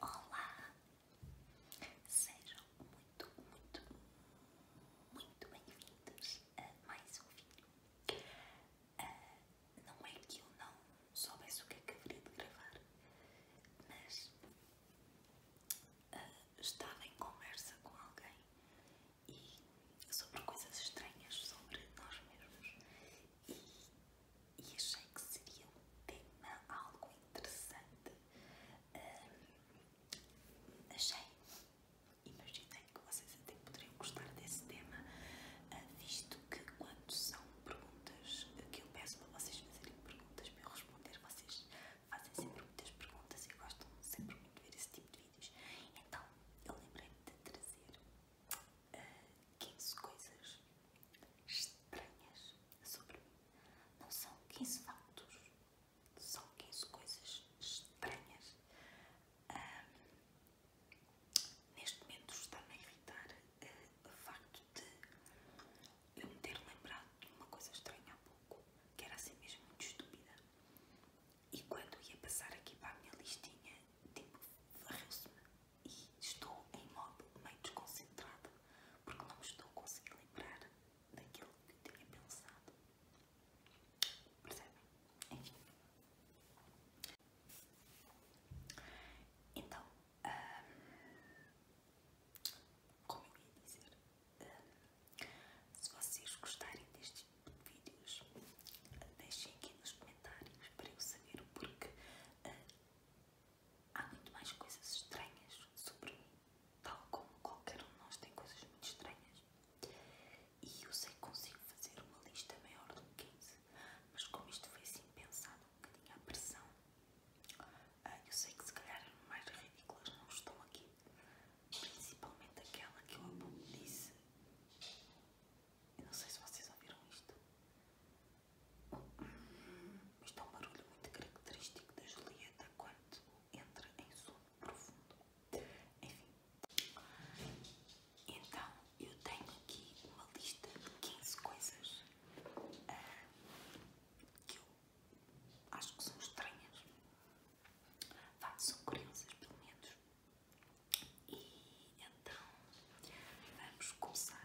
Olá, Sejam muito, muito, muito bem-vindos a mais um vídeo. Ah, não é que eu não soubesse o que é que haveria de gravar, mas ah, estava em conversa com alguém sobre coisas estranhas sobre nós mesmos e achei que seria um tema algo interessante um, ehm, achei, imaginei que vocês até poderiam gostar desse tema, eh, visto que quando são perguntas que eu peço para vocês fazerem perguntas para eu responder, vocês fazem sempre muitas perguntas e gostam sempre muito de ver esse tipo de vídeos. Então eu lembrei-me de trazer uh, eh, 15 coisas estranhas sobre mim. Não são 15 factos, são 15 coisas estranhas. neste momento está-me a irritar uh, o facto de eu me ter lembrado de uma coisa estranha há pouco, que era assim mesmo muito estúpida. E quando ia passar aqui para a minha listinha, tipo, varreu-se-me e estou em modo meio desconcentrado porque não estou a conseguir lembrar daquilo que eu tinha pensado. Percebem? Enfim. Então, ah, como eu ia dizer, ah, se vocês gostarem destes vídeos, deixem aqui nos comentários para eu saber o porquê. Ah, há muito mais coisas estranhas sobre mim, tal como qualquer um de nós tem coisas muito estranhas. E eu sei que consigo fazer uma lista maior do que 15, mas como isto foi assim pensado, um bocadinho à pressão, ah, eu sei que se calhar as mais ridículas não estão aqui, principalmente aquela que eu há pouco disse. Eu não sei se vocês ouviram isto. Hum mas está um barulho muito característico da Julieta quando entra em sono profundo. Enfim. Então, eu tenho aqui uma lista de 15 coisas ah, que eu acho que são estranhas. Vá, são crianças, pelo menos. E então, vamos começar.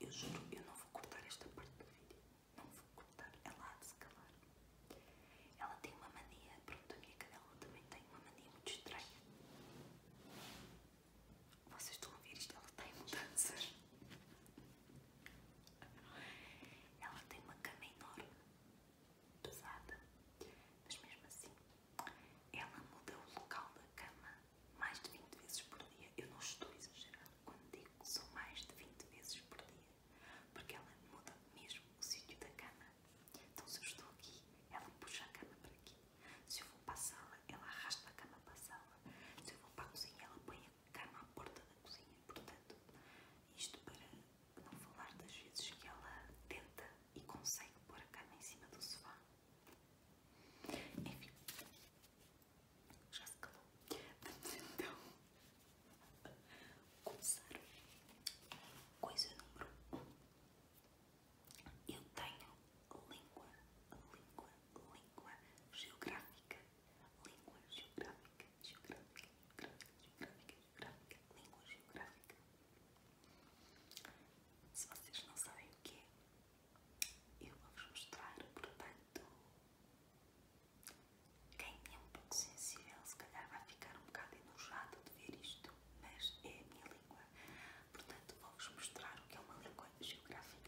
Eu juro, eu não vou cortar esta parte do vídeo. Não vou cortar, ela há de se calar. Ela tem uma mania, pronto, a minha cadela também tem uma mania muito estranha. Vocês estão a ouvir isto? Ela tem em mudanças. Ela tem uma cama enorme, pesada, mas mesmo assim ela muda o local da cama mais de 20 vezes por dia. Eu não estou a exagerar quando digo que são mais de 20 vezes por dia, porque ela muda mesmo o sítio da cama. Então, se eu estou aqui, ela puxa a cama para aqui. Se eu vou para a sala, ela arrasta a cama para a sala. Se eu vou para a cozinha, ela põe a cama à porta da cozinha. Portanto, isto para não falar das vezes que ela tenta e consegue pôr a cama em cima do sofá. Enfim, já se calou. Vamos então começar. Coisa número 1: Eu tenho língua, língua, língua geográfica. Língua geográfica, geográfica, geográfica, geográfica, geográfica, língua geográfica. Se vocês não sabem o que é, eu vou-vos mostrar, portanto, quem é um pouco sensível se calhar vai ficar um bocado enojado de ver isto, mas é a minha língua, portanto vou-vos mostrar o que é uma língua geográfica.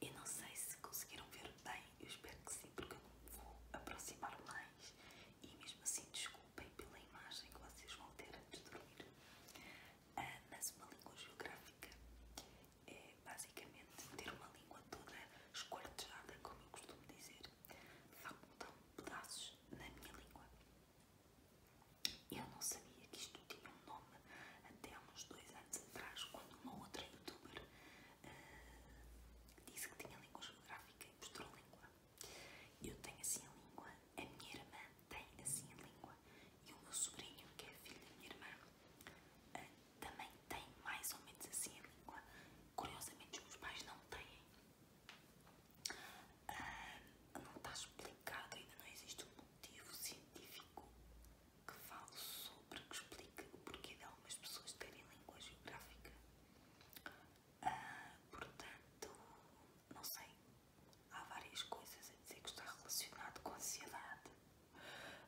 Eu não sei se conseguiram ver bem, eu espero que sim, porque eu não vou aproximar mais. E mesmo assim, desculpem pela imagem que vocês vão ter antes de dormir. Ah, mas uma língua geográfica é basicamente ter uma língua toda esquartejada, como eu costumo dizer. Facultam pedaços na minha língua. Eu não sabia que isto tinha um nome até uns dois anos atrás, quando uma outra youtuber eh, disse que tinha língua geográfica e mostrou língua. Eu tenho assim a língua, a minha irmã tem assim a língua e o meu sobrinho, que é filho da minha irmã, eh, também tem mais ou menos assim a língua. Curiosamente, os meus pais não têm. Ah, não está explicado, ainda não existe um motivo científico que falo sobre, que explique o porquê de algumas pessoas terem língua geográfica. Ah, portanto, não sei, há várias coisas a dizer que está relacionado com ansiedade,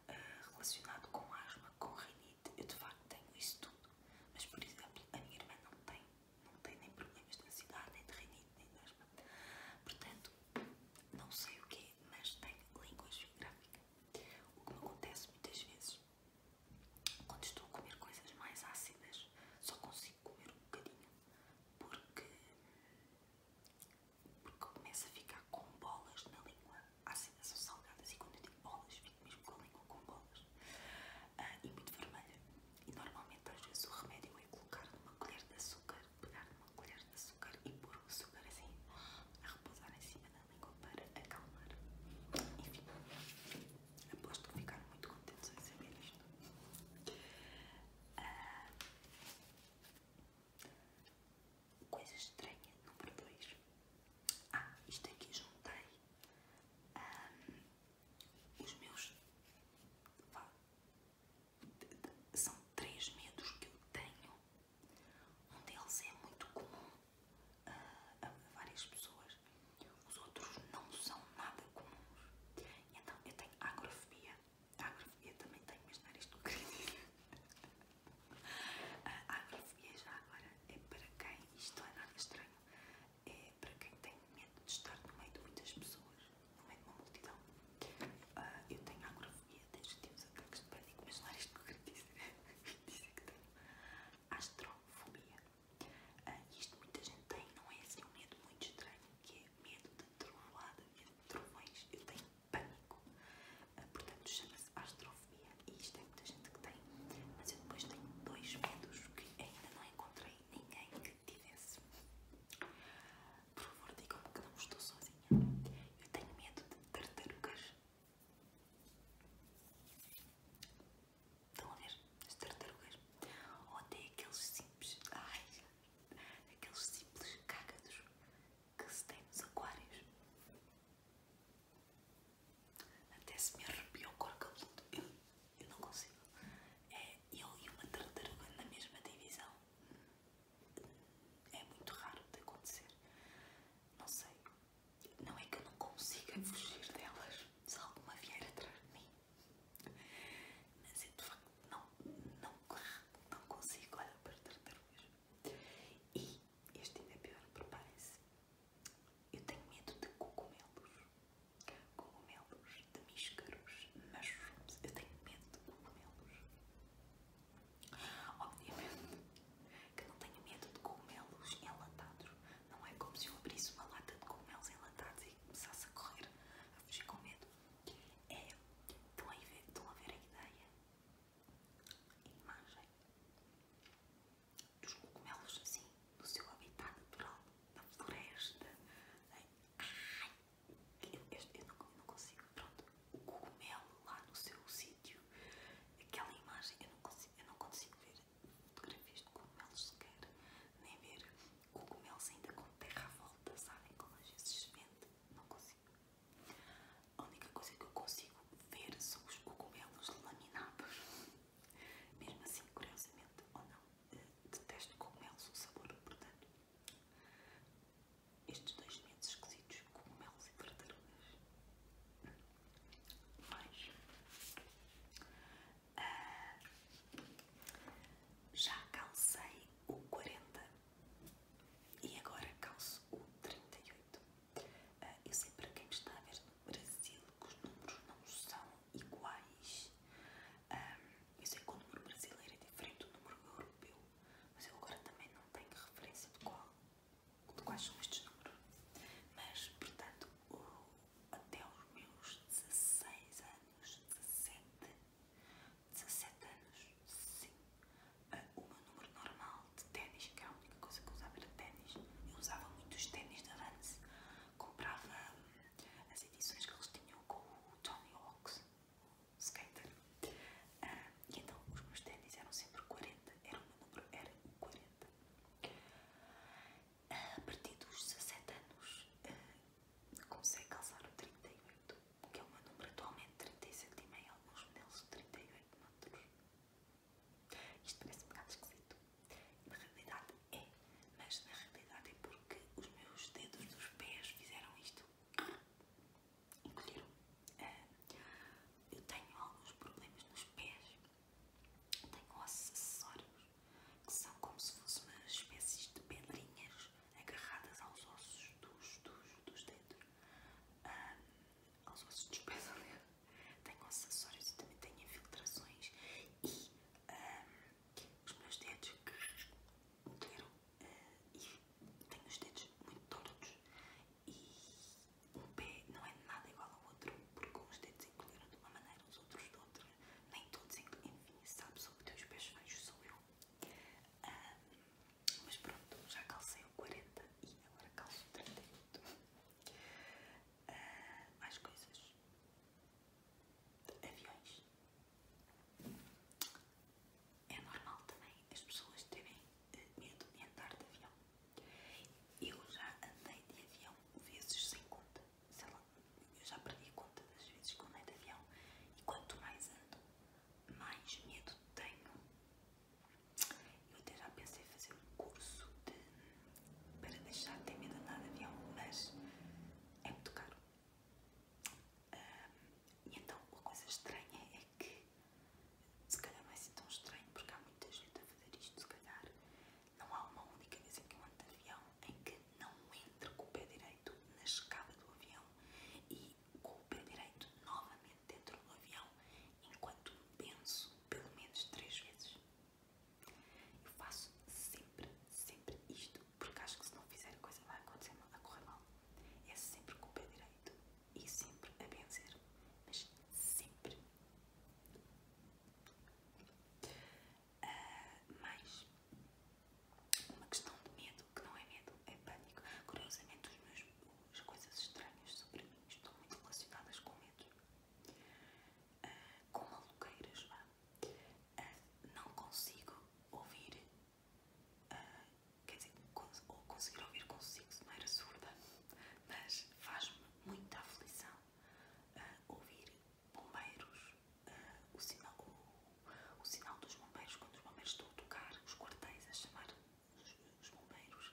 ah, relacionado com asma, com rinite. Eu de facto tenho isso tudo, mas por exemplo, a minha irmã não tem, não tem nem problemas de ansiedade, nem de rinite, nem de asma. Portanto, não sei o que é mas tem língua geográfica. O que me acontece muitas vezes, quando estou a comer coisas mais ácidas, só consigo comer um bocadinho, porque, porque começa a ficar com bolas na língua. Ácidas ou salgadas, e quando eu digo bolas, fico mesmo com a língua com bolas. Ah, e muito vermelha. E normalmente, às vezes, o remédio é colocar numa colher de açúcar, pegar numa uma colher de açúcar e pôr o açúcar assim a repousar em cima da língua para acalmar. Enfim, aposto que ficar muito contente em saber isto. Ah, coisa estranha, número 2. Ah, isto aqui juntei ah, os meus. São três medos que eu tenho um deles é muito comum ah, a várias pessoas, os outros não são nada comuns. então eu tenho agrofobia, a agrofobia também tenho, mas não era isto que queria A agrofobia já agora é para quem, isto não é nada estranho, é para quem tem medo de estar no meio de muitas pessoas, no meio de uma multidão. Ah, eu tenho agrofobia miúdas temos ataques de pânico, mas não é isto que eu quero dizer. dizer que tenho astrofobia. Ah, isto muita gente tem, não é assim um medo muito estranho, que é medo de trovoada, medo de trovões. Eu tenho pânico. Ah, portanto, chama-se astrofobia. E isto é muita gente que tem. Mas eu depois tenho dois medos que ainda não encontrei ninguém que tivesse. Por favor, digam-me que não estou sozinha. Eu tenho medo de tartarugas Estão a ver? As tartarugas. Ou até aqueles simples. Ai, aqueles simples cágados que se tem nos aquários. Até se me arrepia o cor cabeludo. Eu, eu não consigo. É eu e uma tartaruga na mesma divisão é muito raro de acontecer. Não sei, não é que eu não consiga fugir delas se alguma vier atrás de mim, mas eu de facto não, não, consigo olhar para tartarugas. E este ainda é pior, preparem-se. Eu tenho medo de cogumelos, cogumelos de míscaros, mas eu tenho medo de cogumelos. Obviamente que não tenho medo de cogumelos enlatados. Não é como se eu abrisse uma lata de cogumelos enlatados e começasse a correr, a fugir com medo. É, estão a ver, estão a, a ideia, a imagem dos cogumelos assim, no seu habitat natural, na floresta. Ai, eu, eu, eu, eu não consigo pronto, o cogumelo lá no seu sítio, aquela imagem, eu não consigo, eu não consigo ver fotografias de cogumelos sequer, nem ver cogumelos ainda com terra à volta, sabem como às vezes se vende, não consigo. A única coisa que eu consigo ver são os cogumelos laminados, mesmo assim, curiosamente, ou não, eh, detesto cogumelos, o sabor, portanto, estes dois meses esquisitos, com cogumelos e tartarugas. Mas ah, já calcei o 40 e agora calço o 38. Uh, ah, eu sei para quem está a ver no Brasil que os números não são iguais. Um, ah, eu sei que o número brasileiro é diferente do número europeu, mas eu agora também não tenho referência de qual de quais são estes números. Mas, portanto, até os meus 16 anos, 17, 17 anos, sim, ah, o meu número normal de ténis, que é a única coisa que eu usava era ténis, eu usava muito os ténis da Vance comprava hum, as edições que eles tinham com o Tony Hawks, skater. Ah, e então os meus tênis eram sempre 40, era um número, era 40. Ah, a partir dos 17 anos ah, comecei calçar o 38, que é um número atualmente 37 e meio, alguns modelos de 38 metros. Isto parece um bocado esquisito. Na realidade é, mas na realidade é porque os meus dedos dos pés fizeram isto encolheram. É. eu tenho alguns problemas nos pés, tenho ossos acessórios que são como se fossem uma espécies de pedrinhas agarradas aos ossos dos, dos, dedos, aos ossos dos pés, aliás. Tenho ossos acessórios e também tenho infiltrações e os meus dedos encolheram eh, e tenho os dedos muito tortos e um pé não é nada igual ao outro, porque uns dedos encolheram de uma maneira, os outros de outra, nem todos encolheram, enfim, sabe, sobre teus pés feios sou eu. mas pronto, já calcei o 40 e agora calço o 38. Ah, mais coisas. Aviões é normal também as pessoas terem eh, medo de andar de avião. Eu já andei de avião vezes sem conta. Sei lá, eu já perdi conta das vezes que andei de avião. E quanto mais ando, mais medo tenho. Eu até já pensei em fazer um curso para deixar de ter medo de andar de avião, mas é muito caro. Um, e então, a coisa estranha é que, se calhar não é assim tão estranho, porque há muita gente a fazer isto, se calhar, não há uma única vez em que eu ando de avião em que não entre com o pé direito na escada do avião e com o pé direito novamente dentro do avião, enquanto penso pelo menos três vezes. Eu faço sempre, sempre isto, porque acho que se não fizer a coisa vai acontecer a correr mal. É sempre com o pé direito e sempre a vencer, mas sempre. Uh, mais uma questão de medo, que não é medo, é pânico. Curiosamente, as coisas estranhas sobre mim estão muito relacionadas com medo, uh, com maluqueiras. Ah, não consigo ouvir ah, quer dizer, ou conseguir ouvir consigo de maneira surda, mas faz-me muita aflição ah, ouvir bombeiros, ah, o, sinal, o, sinal dos bombeiros, quando os bombeiros estão a tocar, os quartéis a chamar os, bombeiros,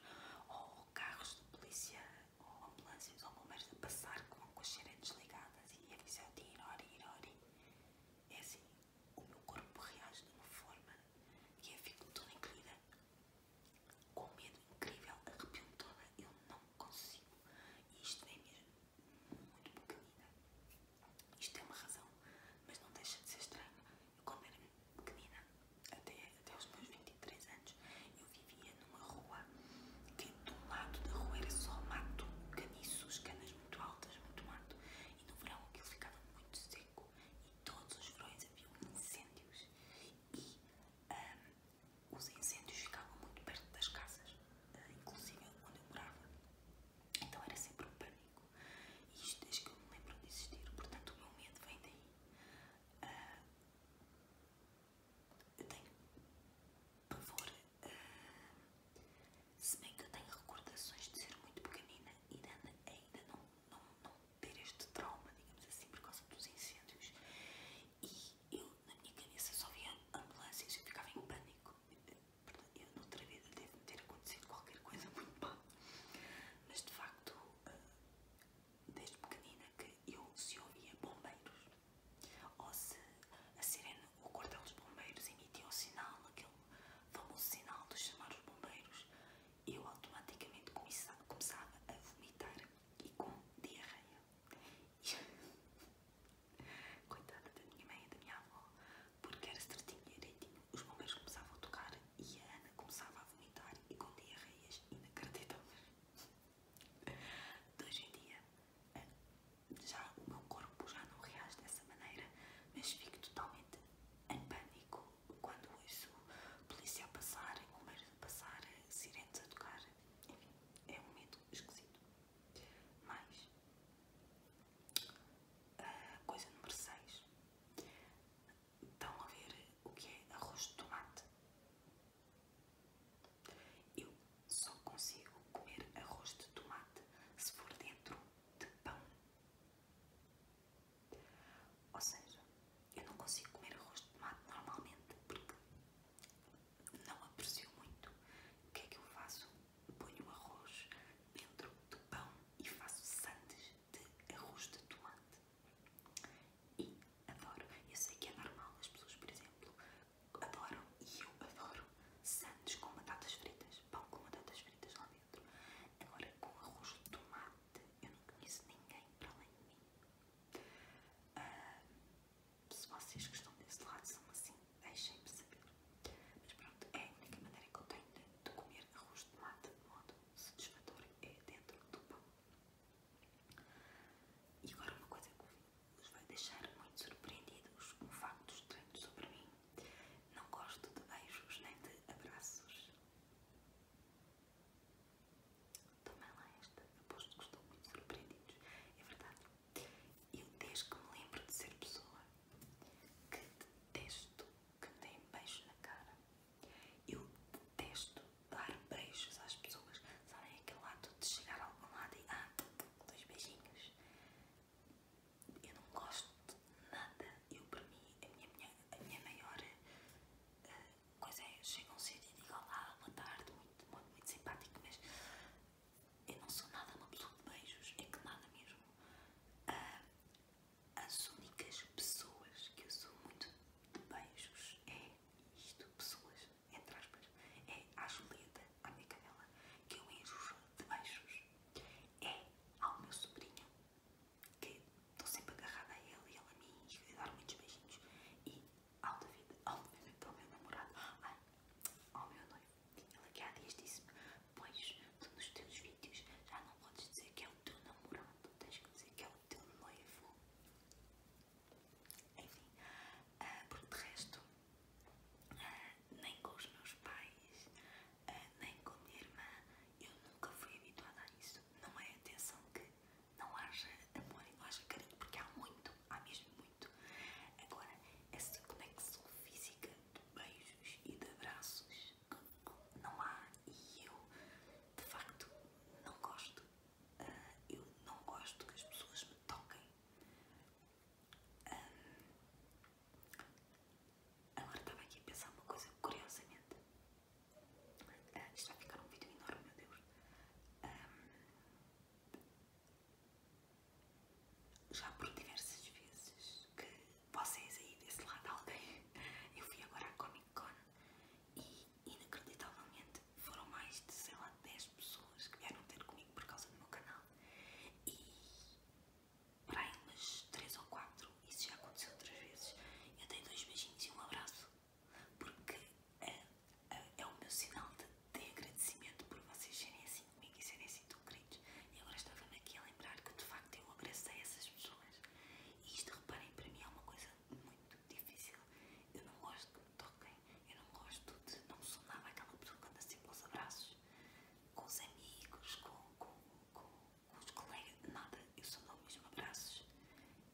ou carros de polícia, ou ambulâncias, ou bombeiros a passar com, com as sirenes desligadas e a dizer, ori, ori, ori, é assim o meu corpo reage de uma forma que eu fico toda incluída com medo incrível, arrepio toda, eu não consigo. E isto é mesmo muito pequenina. Isto tem é uma razão, mas não deixa de ser estranho. Eu quando era pequenina, até, até os meus 23 anos, eu vivia numa rua que de um lado da rua era só mato, caniços, canas muito altas, muito mato, e no verão aquilo ficava muito seco todos os verões haviam incêndios e os incêndios ficavam muito perto das casas, eh, inclusive onde eu morava. Então era sempre um pânico. E isto desde que eu me lembro de existir, portanto o meu medo vem daí. Uh, eu tenho pavor, uh, se bem que eu tenho recordações de ser muito pequenina e ainda, ainda não, não ter este trauma, digamos assim, por causa dos incêndios. E eu, na minha cabeça, só via ambulâncias, eu ficava em pânico. Eu, noutra vida, deve ter acontecido qualquer coisa muito mal. Mas, de facto, ah, desde pequenina que eu se ouvia bombeiros, ou se a sirene, o cordão dos bombeiros emitia o sinal, aquele famoso sinal de chamar os bombeiros, eu automaticamente começava a vomitar e com diarreia. Coitada da minha mãe e da minha avó, porque era certinho e direitinho, os bombeiros começavam a tocar e a Ana começava a vomitar e com diarreias inacreditáveis. De hoje em dia, eh, já o meu corpo já não reage dessa maneira, mas fico totalmente em pânico quando ouço polícia a passar, bombeiros a passar, sirenes a tocar, enfim, é um medo esquisito. mais ah, coisa número 6, estão a ver o que é arroz de tomate? Eu só consigo comer arroz de tomate se for dentro de pão ou seja, eu não consigo comer arroz de tomate normalmente porque não aprecio muito. O que é que eu faço? Ponho o arroz dentro do pão e faço sandes de arroz de tomate. E adoro. Eu sei que é normal, as pessoas, por exemplo, adoram e eu adoro sandes com batatas fritas, pão com batatas fritas lá dentro. Agora, com arroz de tomate eu não conheço ninguém para além de mim. Ah, se vocês que estão desse lado são assim, deixem-me saber. Mas pronto, é a única maneira que eu tenho de, comer arroz de tomate de modo satisfatório é dentro do pão. E agora uma coisa que vos vai deixar muito surpreendidos, com factos estranho sobre mim. Não gosto de beijos nem de abraços. Também lá esta, aposto que estou muito surpreendido. É verdade. Eu desde que me lembro de ser pessoa que detesto que me dêem beijos na cara. Eu detesto dar beijos às pessoas. Sabem aquele lado de chegar a algum lado e ah, dois beijinhos. Eu não gosto nada. Eu, para mim, a minha, minha, minha maior eh, coisa é: chegam cedo e digam lá, boa tarde, muito, muito, muito simpático, mas eu não sou nada uma pessoa de beijos, é que nada mesmo. Ah, as únicas pessoas que eu sou muito de beijos é isto: pessoas, entre aspas, é a joleta a minha canela, que eu enjo de beijos, é ao meu sobrinho que estou sempre agarrada a ele e ele a mim e dar muitos beijinhos e ao David, ao David, ao meu namorado, ai, ao meu noivo. Ele aqui há dias disse-me, pois tu nos teus vídeos já não podes dizer que é o teu namorado, tens que dizer que é o teu noivo. Enfim, uh, porque de resto, ah, nem com os meus pais, eh, nem com a minha irmã, eu nunca fui habituada a isso. Não é atenção que não haja amor e não haja carinho, porque há muito, há mesmo muito. Agora, essa conexão física de beijos e de abraços não há e eu, de facto, não gosto. Eh, eu não gosto que as pessoas me toquem. Agora estava aqui a pensar uma coisa curiosamente. Uh, isto vai ficar um vídeo enorme, meu Deus. já por diversas vezes que vocês aí desse lado, alguém, eu fui agora à Comic Con e inacreditavelmente foram mais de sei lá 10 pessoas que vieram ter comigo por causa do meu canal. E para aí umas 3 ou 4. Isso já aconteceu outras vezes. Eu dei dois beijinhos e um abraço, porque é, é, é o meu sinal de, agradecimento por vocês serem assim comigo e serem assim tão queridos. E agora estava-me aqui a lembrar que de facto eu agradeci essas pessoas. E isto, reparem, para mim é uma coisa muito difícil. Eu não gosto que me toquem, eu não gosto de. Não sou nada aquela pessoa que anda sempre aos abraços com os amigos, com. com, com com os colegas, nada, eu só dou mesmo abraços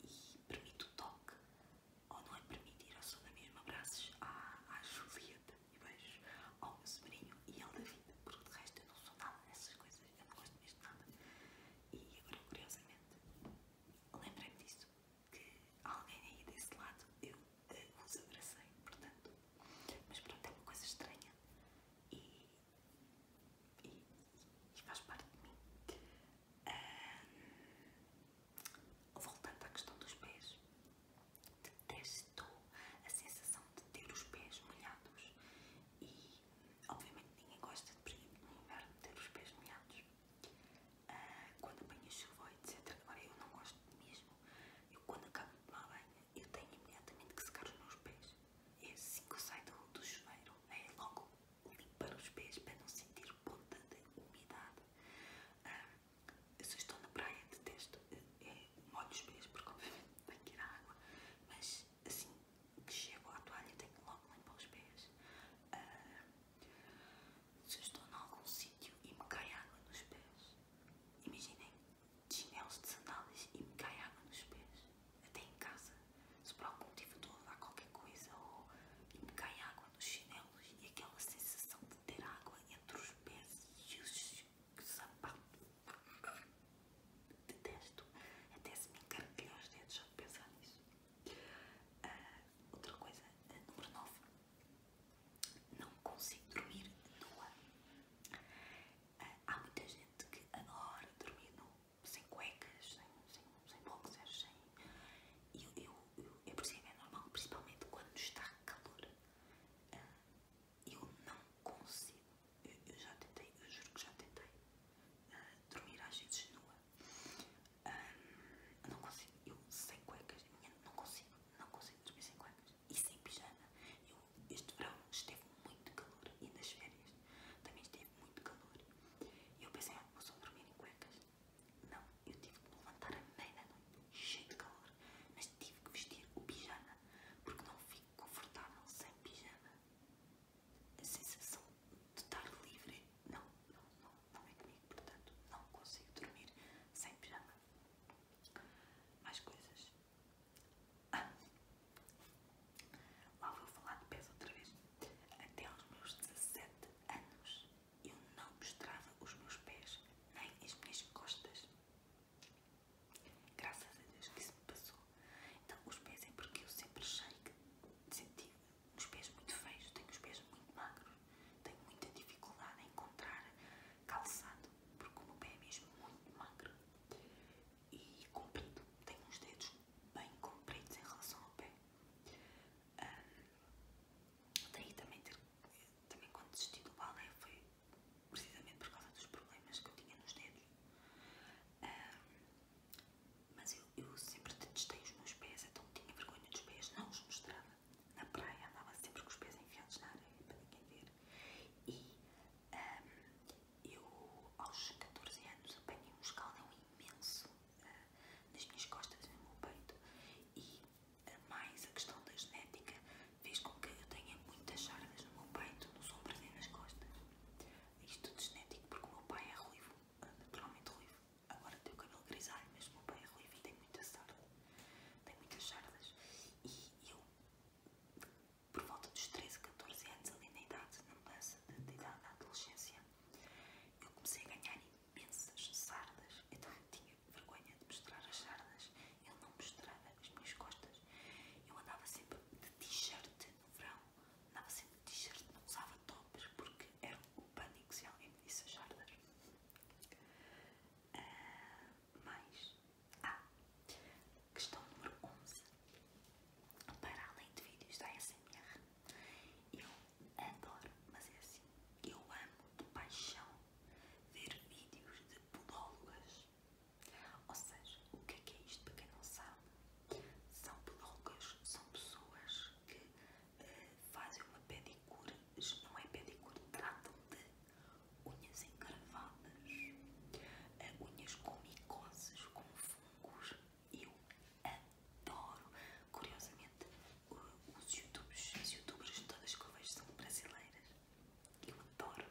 e permito o toque, ou não é permitir, eu só dou mesmo abraços à, à Julieta e beijos ao meu sobrinho e ao David, porque de resto eu não sou nada dessas coisas, eu não gosto mesmo de nada. E agora, curiosamente, lembrei-me disso, que alguém aí desse lado eu eh, os abracei, portanto, mas pronto, é uma coisa estranha. E e, faz parte de mim. voltando à questão dos pés, detesto a sensação de ter os pés molhados e obviamente ninguém gosta de no inverno ter os pés molhados. quando ah, quando apanho chuva, etc. Agora eu não gosto mesmo. Eu quando acabo de tomar banho, eu tenho imediatamente que secar os meus pés é assim que sai do, chuveiro, é logo limpar os pés para não sentir ponta de umidade. se eu estou na praia, detesto, é, molho os pés porque obviamente tenho que ir à água, mas assim que chego à toalha tenho logo limpar os pés. se eu estou em algum sítio e me cai água nos pés, imaginem de chinelos, de e me cai água nos pés. Até em casa. Se por algum motivo estou a dar qualquer coisa ou e me cai água nos chinelos e aquela sensação de ter água entre os pés e os sapatos. Detesto. Até se me encarquilha os dedos só de pensar nisso. Ah, outra coisa, ah, número 9. Não consigo dormir nua. Uh, ah, há muita gente que adora dormir nua sem cuecas, sem, sem, boxers, sem... Eu, eu, eu, eu percebo, é normal, principalmente quando está calor. Ah, eu não consigo, eu, já tentei, eu juro que já tentei ah, dormir às vezes nua. Um, ah, não consigo, eu sem cuecas, não consigo, não consigo dormir sem cuecas e sem pijama. Este verão esteve muito calor e nas férias também esteve muito calor. eu pensei, ah, vou só dormir em cuecas. Não, eu tive que me levantar a meia noite, cheio de calor, mas tive que vestir o pijama, porque não fico confortável sem pijama. A sensação de estar livre, não, não, não, não é comigo, portanto, não consigo dormir sem pijama. Mais coisas. Ah. Lá vou falar de pés outra vez. Até aos meus 17 anos eu não mostrava os meus pés nem as minhas costas. Graças a Deus que isso me passou. Então, os pés é porque eu sempre achei que senti os pés muito feios, tenho os pés muito magros, tenho muita dificuldade em encontrar calçado, porque o meu pé é mesmo muito magro e comprido, tem uns dedos bem compridos em relação ao pé. daí também, ter, também quando desisti do balé foi precisamente por causa dos problemas que eu tinha nos dedos. mas eu, sempre detestei os meus pés, então tinha vergonha dos pés, não os mostrava. Na praia andava sempre com os pés enfiados na areia para ninguém ver. E eu, aos 14 anos, apanhei um escaldão imenso eh, nas minhas costas e no meu peito, e eh, mais a questão da genética fez com que eu tenha muitas sardas no meu peito, nos ombros e nas costas. Isto tudo genético, porque o meu pai é ruivo, eh, naturalmente ruivo. Agora tenho o cabelo grisalho, mas o meu pai é ruivo e tem muita sarda. Tem muitas sardas. E eu por volta dos 13, 14 anos, ali na idade, na mudança de, idade da adolescência, eu comecei a ganhar imensas sardas. Eu então, eu tinha vergonha de mostrar as sardas, eu não mostrava as minhas costas. Eu andava sempre de t-shirt no verão, andava sempre de t-shirt, não usava tops porque era o pânico se alguém me disse as sardas. Ah, mais. Ah, questão número 11 para além de vídeos da SMR, Eu adoro, mas é assim, eu amo de paixão ver vídeos de podólogas. Ou seja, o que é, é isto para quem não sabe? São podólogas, são pessoas que eh, fazem uma pedicure, não é pedicura tratam de unhas engravadas unhas com micoses, com fungos. Eu adoro. Curiosamente, os youtubers, as youtubers todas que eu vejo são brasileiras. Eu adoro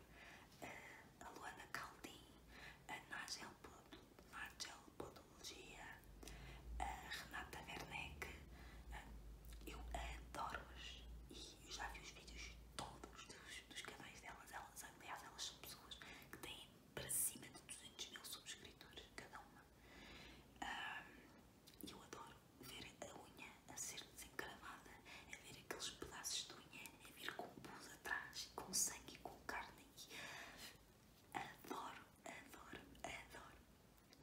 a Luana Caldim, a Nagel Podologia, a Renata Werneck. Eu adoro-as e eu já vi os vídeos todos dos, dos canais delas aliás, elas são pessoas que têm para cima de 200 mil subscritores, cada uma. E eu adoro ver a unha a ser desencravada, a ver aqueles pedaços de unha, a ver com pus atrás, com sangue e com carne. Adoro, adoro, adoro.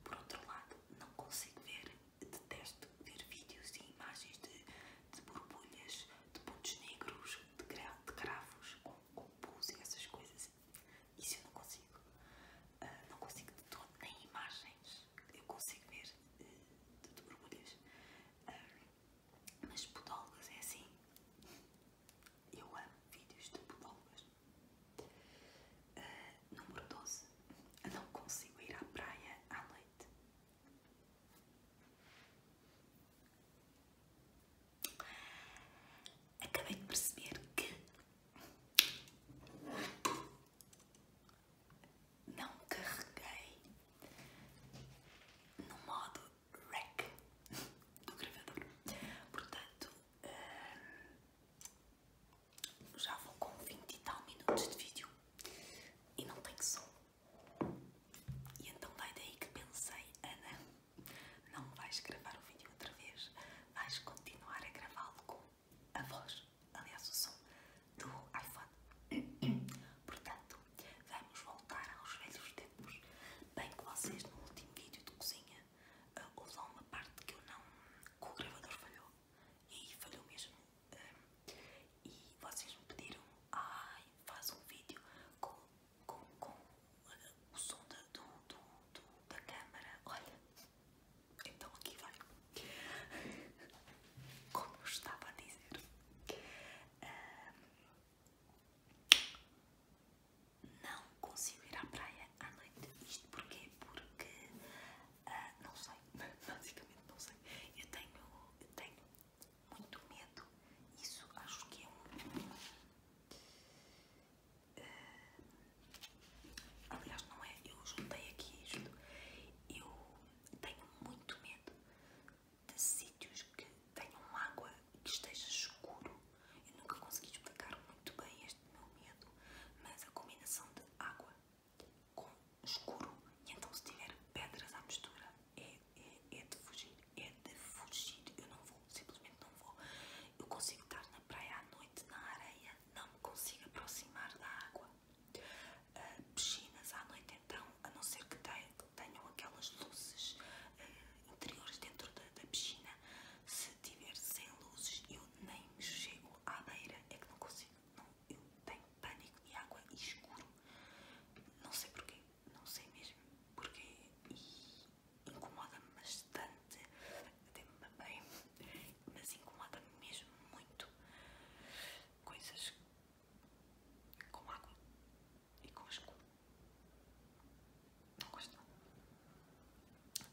Por outro lado, não consigo ver, detesto ver vídeos e imagens de de borbulhas, de pontos negros, de, gra de cravos, com, com e essas coisas. Isso eu não consigo. Ah, não consigo de todo, nem imagens. Eu consigo ver eh, de, de borbulhas. Ah, mas podólogas é assim. Eu amo vídeos de podólogas. Ah, número 12. Não consigo ir à praia à noite. Acabei de perceber que não carreguei no modo REC do gravador, portanto hum, já vou com 20 e tal minutos de vídeo e não tenho som. E então vai daí que pensei, Ana, não vais gravar o vídeo outra vez, vais continuar a gravá-lo com a voz, aliás o som, do iPhone. Portanto, vamos voltar aos velhos tempos. Bem que vocês no último vídeo de cozinha uh, uma parte que eu não. o gravador falhou. E aí falhou mesmo. Eh, e vocês me pediram, ai, faz um vídeo com, com, com o som da, do, da câmara, olha, então aqui vai, como eu estava a dizer, não consigo ir à praia à noite, isto porque Porque, ah, não sei, basicamente não sei, eu tenho, eu tenho muito medo. Isso acho que é um. Uh, aliás, não é? Eu juntei aqui isto. Eu tenho muito medo de sítios que tenham água e que esteja escuro. Eu nunca consegui explicar muito bem este meu medo, mas a combinação de água com escuro, e então se tiver pedras à mistura, é, é, é, de fugir, é de fugir. Eu não vou, simplesmente não vou. Eu consigo estar na praia à noite, na areia, não me consigo aproximar da água. Ah, piscinas à noite, então, a não ser que tenham aquelas luzes ah, interiores dentro da, piscina, se tiver sem luzes, eu nem chego à beira, é que não consigo. Não, eu tenho pânico e água e escuro. Não sei porquê não sei mesmo porquê e incomoda-me bastante, até me bem, mas incomoda-me mesmo muito coisas com água e com escuro. Não gosto.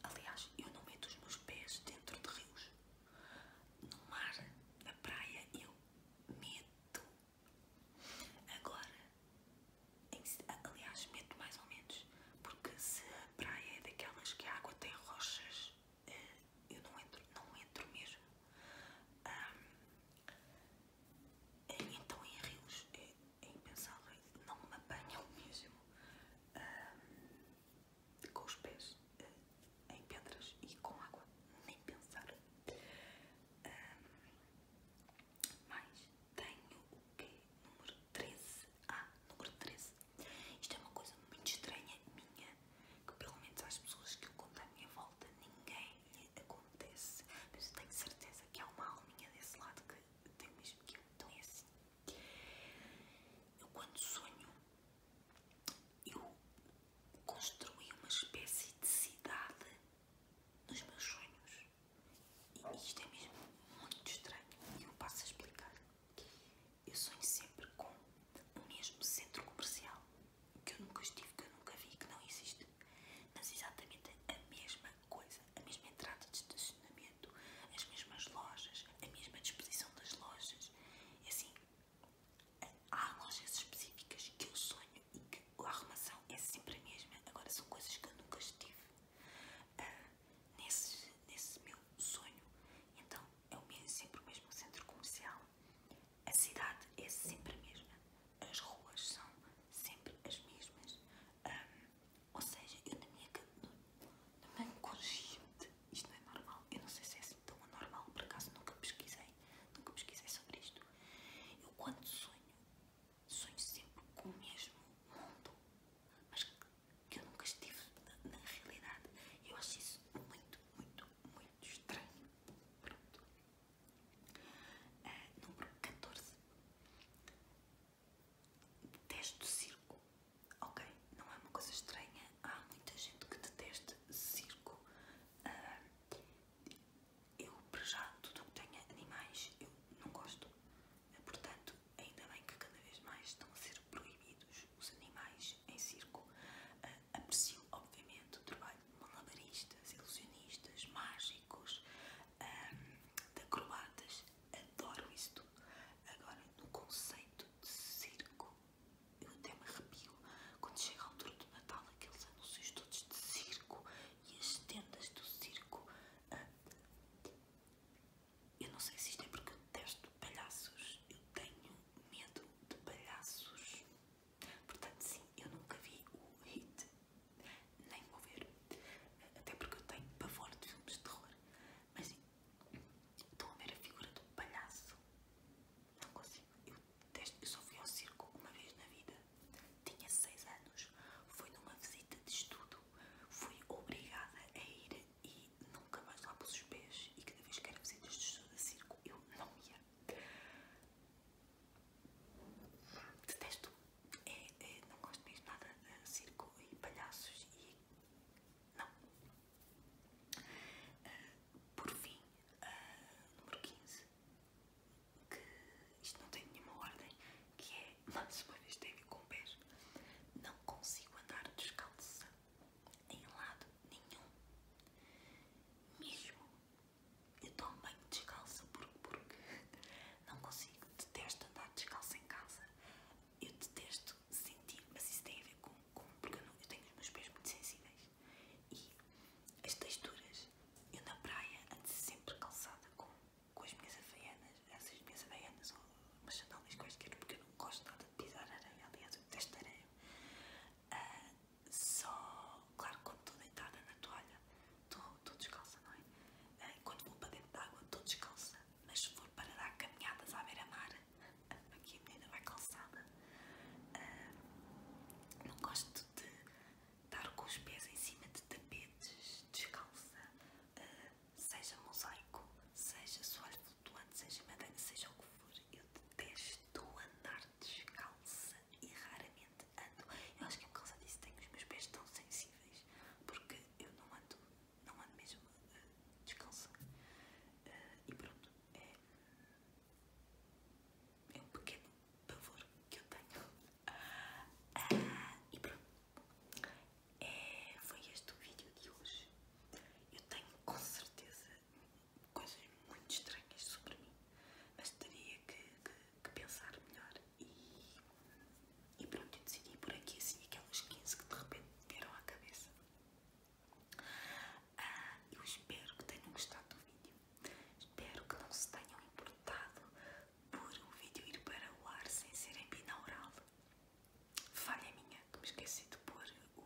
Aliás, eu não meto os meus pés dentro de rios. No mar, na praia, eu meto Agora, aliás, meto mais ou menos, porque se a praia é daquelas que a água tem rochas, eh, eu não entro, não entro mesmo. Um, então, em rios é, é impensável, não me apanham mesmo com os pés eh, em pedras e com água, nem pensar. Mas tenho o quê? Número 13. Ah, número 13. Isto é uma coisa muito estranha minha, que pelo menos às pessoas que eu conto à minha volta ninguém lhe acontece. Mas eu tenho certeza que há uma alminha desse lado que tem o mesmo que eu. Então é assim. Eu quando sonho, eu construí uma espécie de cidade nos meus sonhos. E isto é mesmo muito estranho e eu passo a explicar. Eu sonho sempre com o mesmo centro comercial que eu nunca estive, que eu nunca vi, que não existe. Mas exatamente a mesma coisa, a mesma entrada de estacionamento, as mesmas lojas, a mesma disposição das lojas. assim, há lojas específicas que eu sonho e que a armação é sempre a mesma. Agora são coisas que eu nunca estive ah, nesse, nesse meu sonho. Então é o mesmo, sempre o mesmo centro comercial. A cidade é sempre a mesma. As ruas são sempre as mesmas. Ah, ou seja, eu na minha, no, no meu consciente, isto não é normal. Eu não sei se é assim tão anormal, por acaso nunca pesquisei, nunca pesquisei sobre isto. Eu quando sonho, sonho sempre com o mesmo mundo, mas que eu nunca estive na, realidade. Eu acho isso muito, muito, muito estranho. Pronto. Ah, número 14. Detesto circo. Ok, não é uma coisa estranha. Há muita gente que deteste circo. Ah, eu, para já, tudo que tenha animais, eu não gosto. Portanto, ainda bem que cada vez mais estão a ser proibidos os animais em circo. Ah, aprecio, obviamente, o trabalho de malabaristas, ilusionistas, mágicos, um, ah, de acrobatas. Adoro isso tudo. Agora, no conceito de circo, eu até me arrepio quando chega a altura do Natal aqueles anúncios todos de circo e as tendas do circo. Ah, eu não sei se isto é porque eu detesto palhaços, eu tenho medo de palhaços. Portanto, sim, eu nunca vi o hit, nem vou ver, até porque eu tenho pavor de filmes de terror. Mas estão a ver a figura do palhaço? Não consigo, desde que eu só fui ao circo uma vez na vida. Tinha 6 anos, foi numa visita de estudo, fui obrigada a ir e nunca mais lá pus os pés. E cada vez que era visitas de estudo a circo, eu não ia. Detesto, é, é, não gosto mesmo nada de circo e palhaços e. não. Ah, por fim, ah, número 15 que isto não tem nenhuma ordem, que é, mais tem a ver com pés, não consigo andar descalça em lado nenhum. Mesmo eu tomo bem descalça porque, porque não consigo, detesto andar descalça em casa. Eu detesto sentir, mas isso tem a ver com, com porque não, eu tenho os meus pés muito sensíveis. E as texturas, eu na praia antes sempre calçada com, com as minhas havaianas, essas minhas havaianas ou umas sandálias quaisquer, porque eu não gosto nada de pisar areia, aliás eu detesto areia. Ah, só, claro, quando estou deitada na toalha, estou descalça, não é? Ah, quando vou para dentro da água, estou descalça, mas se for para dar caminhadas à beira-mar, aqui a menina vai calçada. Ah, não gosto de estar com os pés em cima de tapetes, descalça, ah, seja mosaico, seja soalho flutuante, seja madeira, seja o que for. Eu detesto andar descalça e raramente ando. Eu acho que é por causa disso tenho os meus pés tão sensíveis, porque eu não ando, não ando mesmo ah, descalça. Ah, e pronto, é, é um pequeno pavor que eu tenho. Ah, e pronto. É, foi este o vídeo de hoje. Eu tenho com certeza coisas muito estranhas sobre mim, mas teria que, pensar melhor. E, e pronto, eu decidi por aqui assim aquelas 15 que de repente vieram à cabeça. Ah, eu espero que tenham gostado do vídeo. Espero que não se tenham importado por o vídeo ir para o ar sem ser em Falha minha, que me esqueci de pôr o,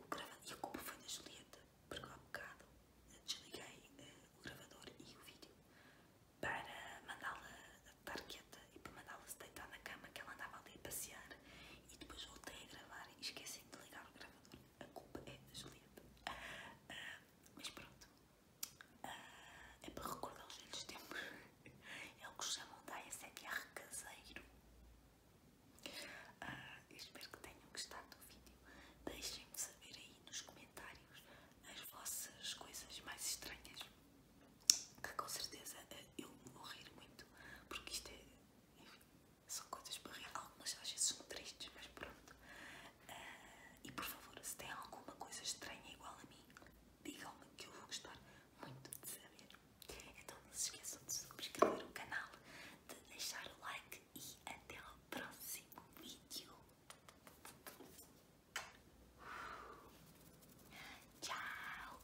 o gravador. E a culpa foi da Julieta, porque há um bocado desliguei eh, o gravador e o vídeo para mandá-la estar quieta e para mandá-la se deitar na cama que ela andava ali a passear. E depois voltei a gravar e esqueci de ligar o gravador a culpa é da Julieta. Ah, mas pronto, ah, é para recordar os velhos tempos. É o que chamam da ASMR caseiro. Uh, espero que tenham gostado do vídeo. Deixem-me saber aí nos comentários as vossas coisas mais estranhas. Que com certeza eu vou rir muito, porque isto é, enfim, são coisas para barreiras. Algumas às vezes são tristes, mas pronto. Ah, e por favor, se tem alguma coisa estranha igual a mim, digam-me que eu vou gostar muito de saber. Então não se esqueçam de subscrever o canal, de deixar o like e até ao próximo vídeo. Tchau!